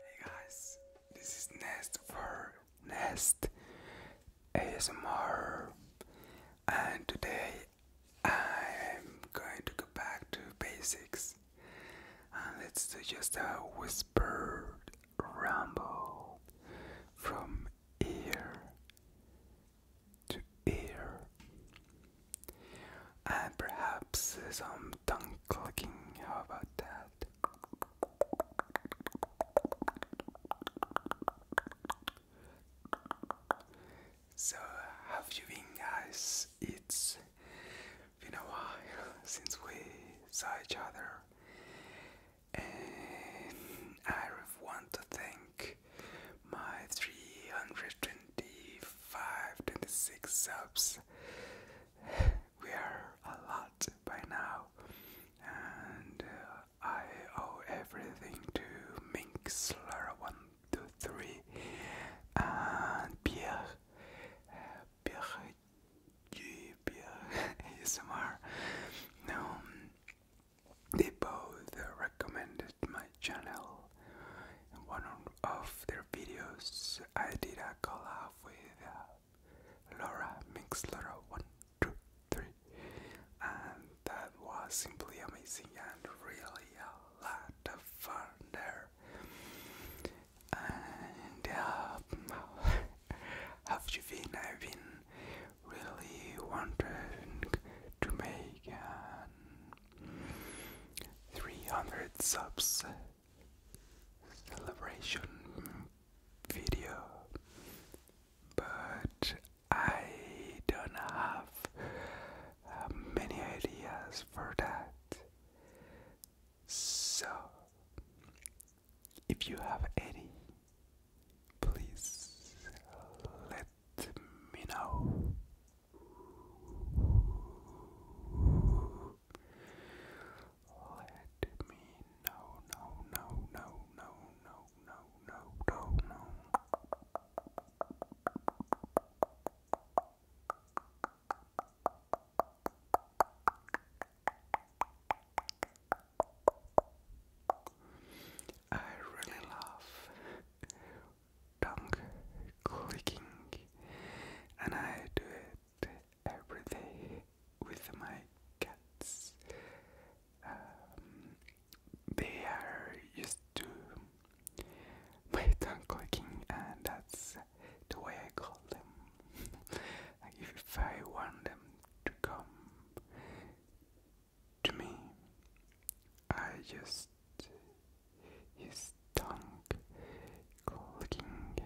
Hey guys, this is Nest for Nest ASMR, and today I'm going to go back to basics let's do just a whispered rumble from ear to ear, and perhaps some tongue clicking. How about that? So, have you been, guys? It's been a while since we saw each other, and I want to thank my 325 subs. We are a lot by now, and uh, I owe everything to Minxler123 and Pierre. Uh, Pierre, Pierre ASMR. Um, they both recommended my channel in one of their videos. I did a collab with uh, Laura Mixlora one two three, and that was simply amazing and really a lot of fun there. And um, have you been? I've been really wanting to make an 300 subs celebration video, but I don't have uh, many ideas for that. So if you have any, please let me know. Let me know, no, no, no, no, no, no, no, no, no. I really love tongue clicking, and I do it every day with my cats. Um, they are used to my tongue clicking, and that's the way I call them. like if I want them to come to me. I just his tongue clicking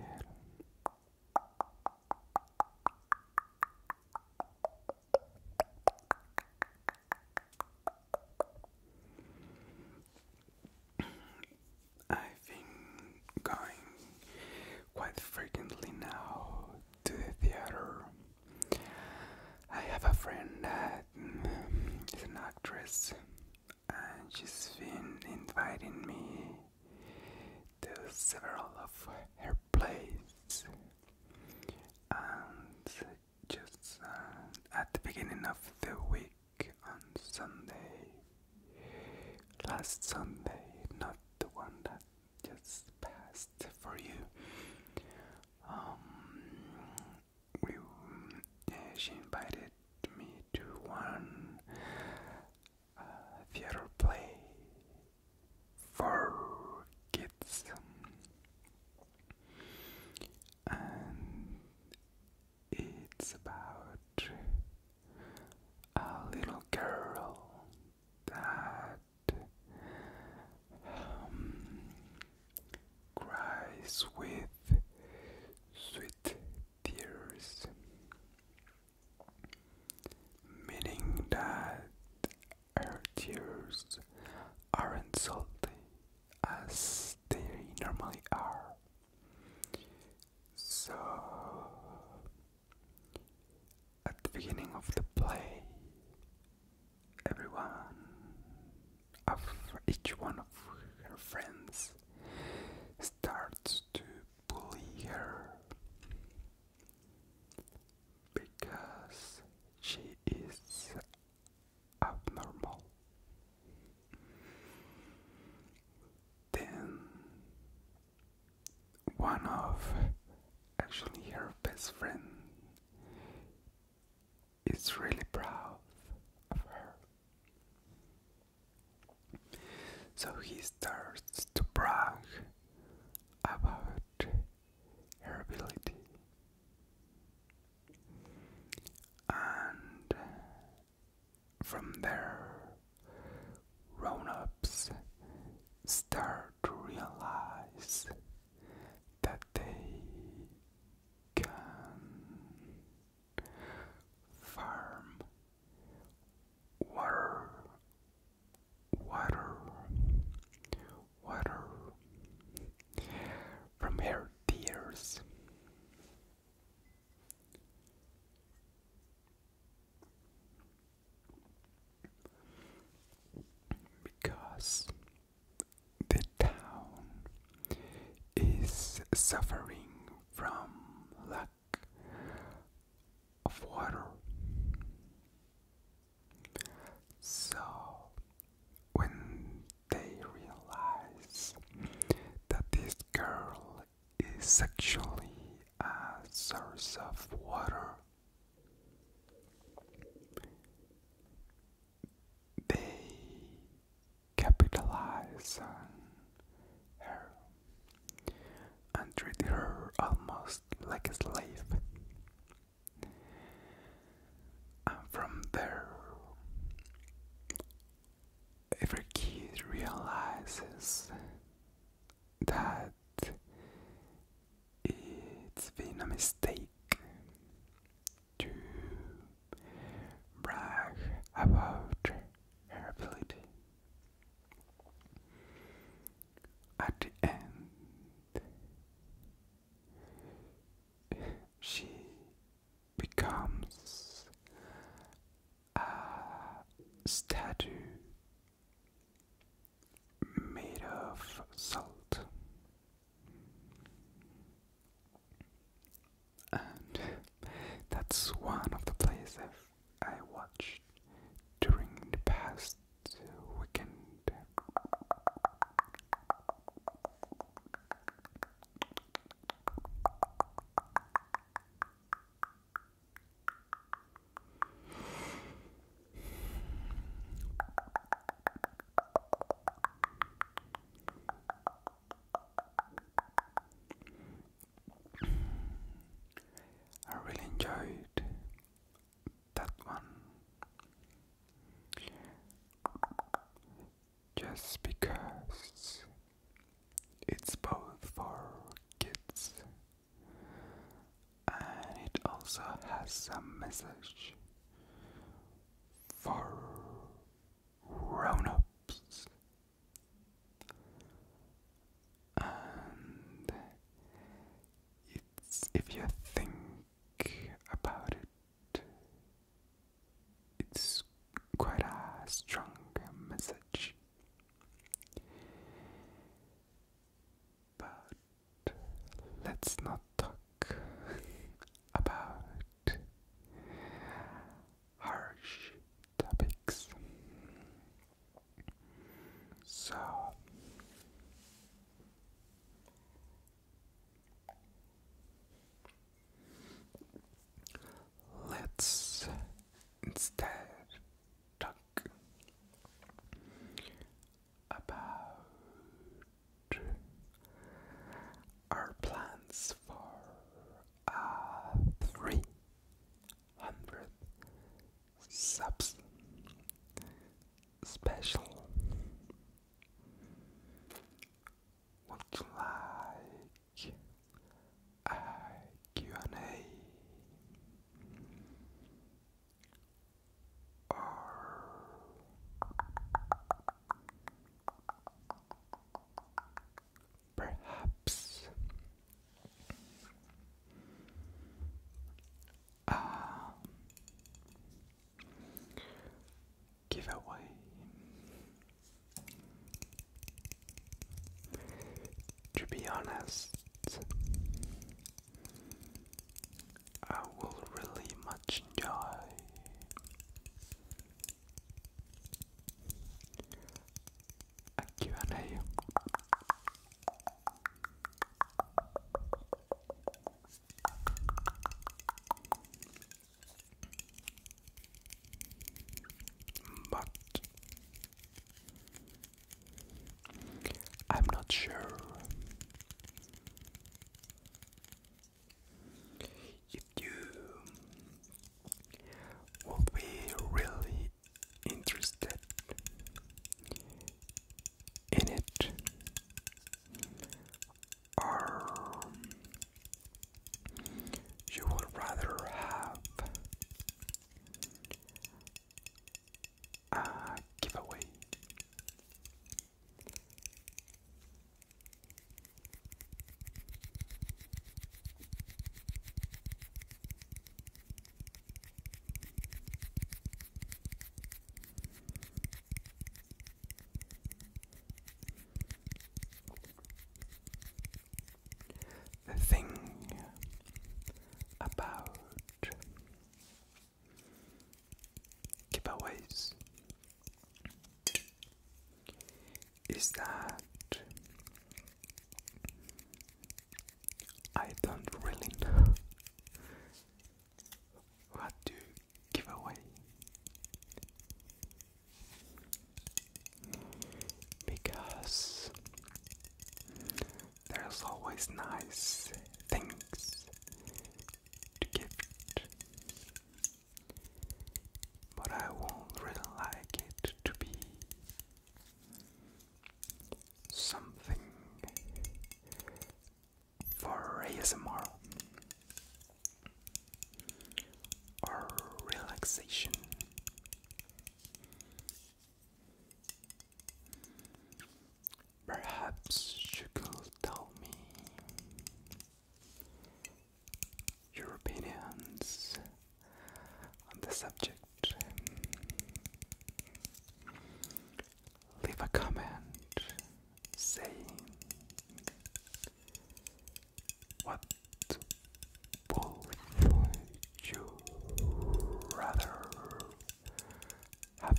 I've been going quite frequently now to the theater. I have a friend that mm, is an actress, and she's been inviting me to several of her plays. And just uh, at the beginning of the week on Sunday, last Sunday, not the one that just passed for you. we, um, uh, she invited me to one uh, theater play for kids, and it's about a little girl that um, cries with sweet tears, meaning that her tears aren't salty as they normally are. So at the beginning of the play, everyone of each one of her friends starts to bully her because she is abnormal. Then one of actually her best friend is really proud of her. So he starts to brag about her ability. And from there, grown ups start to realize that they can farm water, water, water from her tears. Because the town is suffering from lack of water. So, when they realize that this girl is actually a source of water. They capitalize on her and treat her almost like a slave. And from there, if a kid realizes that it's been a mistake to brag about her ability. At the end, she becomes a statue made of salt. And that's one of the plays I watched during the past weekend. I really enjoyed that one just because it's both for kids and it also has some message for grown ups. And it's if you think about it, it's quite a strong message. But let's not talk about harsh topics. So Let's instead talk about our plans for uh, 300 subs special. Would you like a Q&A or perhaps Give away. To be honest, I will really much enjoy a q and but I'm not sure if you will be really interested in it um, you would rather have a giveaway the thing about giveaways is that I don't really know what to give away because there's always nice things to get, but I won't really like it to be something for ASMR or relaxation. Perhaps you could tell me your opinions on the subject. Leave a comment saying what would you rather have?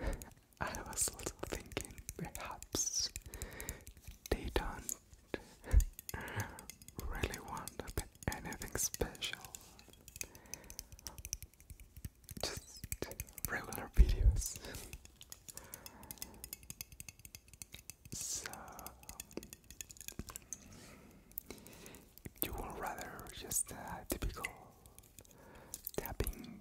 And I was also thinking perhaps they don't really want anything special. Just regular videos. So, you would rather just a uh, typical tapping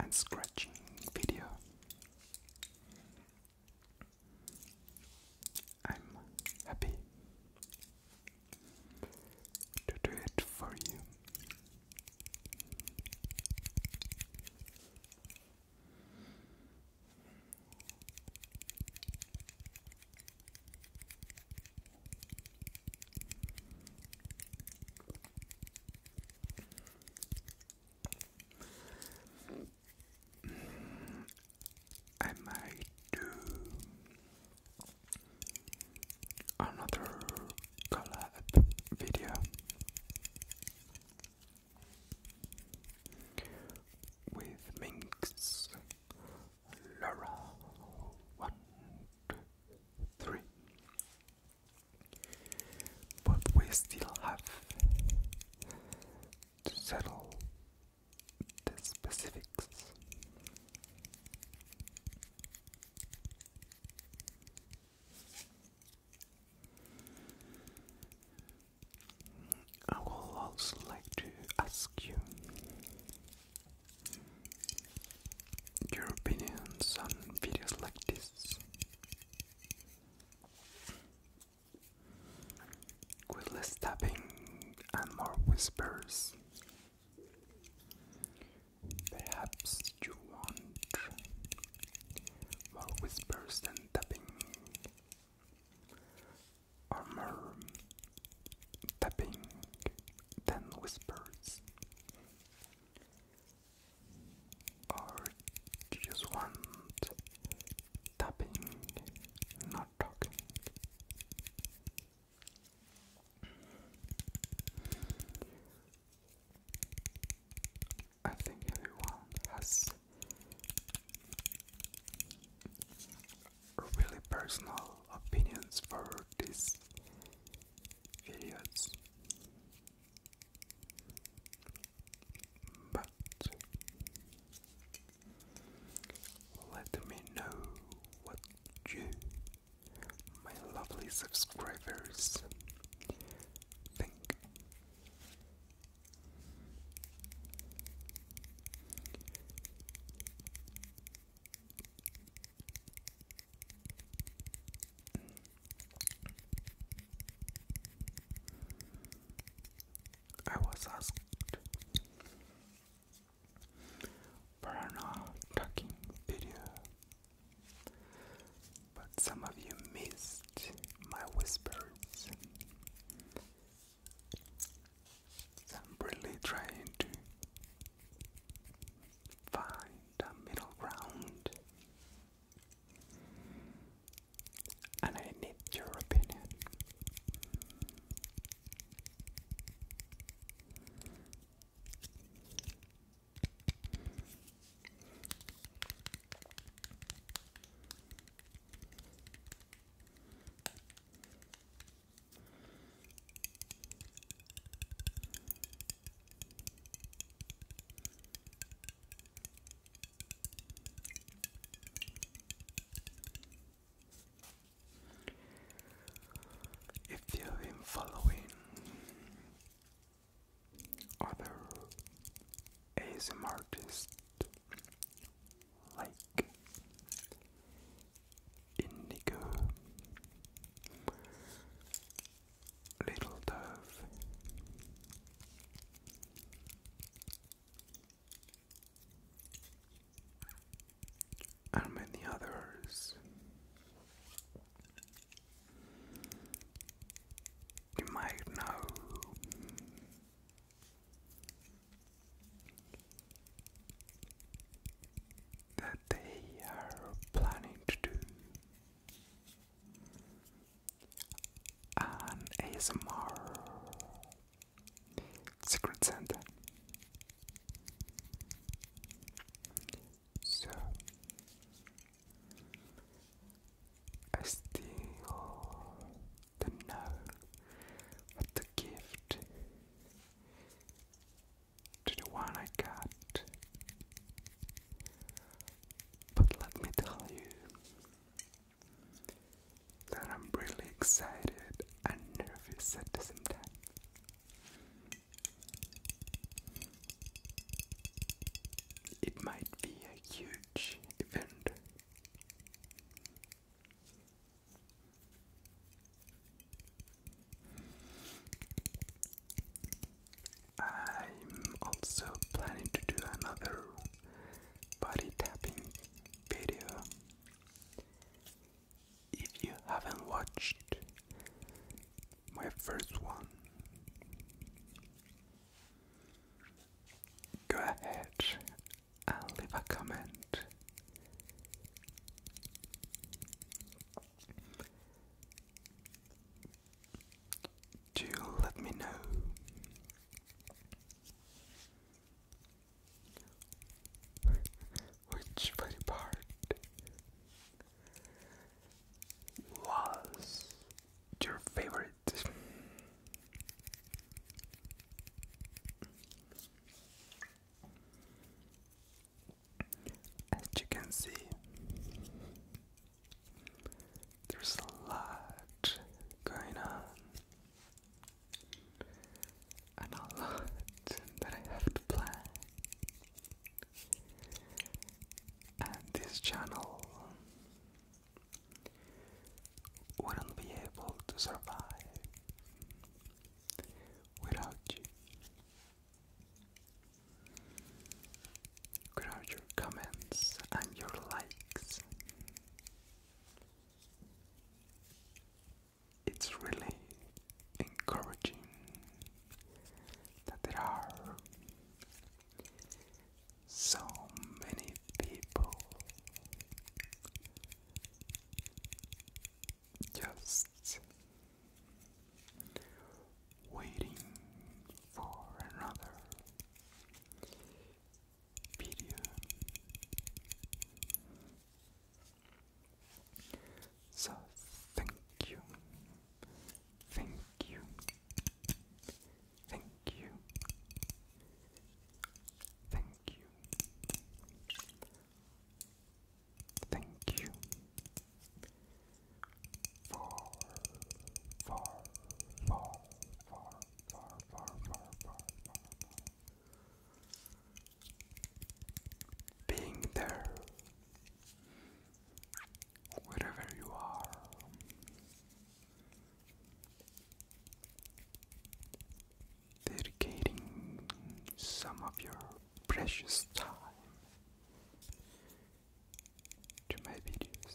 and scratching video. I'm happy to do it for you. I might do another collab video with Minx, Laura, one, two, three. But we still have to settle the specifics. I would also like to ask you your opinions on videos like this. less tapping and more whispers, Perhaps you want more whispers than tapping, or more tapping than whispers, or you just want tapping, not talking. I think everyone has really personal opinions for these videos, but let me know what you my lovely subscribers think. I was asked for an talking video but some of you missed my whispers. I'm really trying to find a middle ground. And I need your opinion. If you've been following other ASM artists like Indigo, Little Dove, and many others. You might know. That they are planning to do an ASMR Secret Santa so I still don't know the gift to the one I got. But let me tell you that I'm really excited and nervous at the same time. It might be a huge event. I'm also planning to do another body tapping video if you haven't watched my first one, go ahead and leave a comment. Do let me know which body part was your favorite? As you can see, there's a lot going on a lot that I have to plan. And this channel wouldn't be able to survive without you. Without your comments and your likes it's really encouraging that there are so many people just waiting for another video so thank you, thank you, thank you, thank you, thank you for for for for for for for for being there wherever you are. Dedicating some of your precious time to my videos.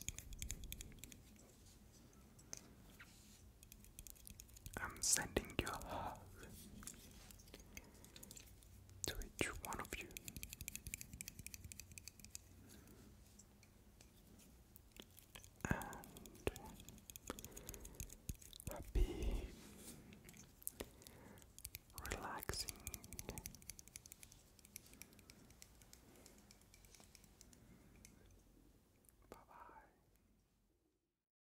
I'm sending your love to each one of you. And happy, relaxing. Bye bye.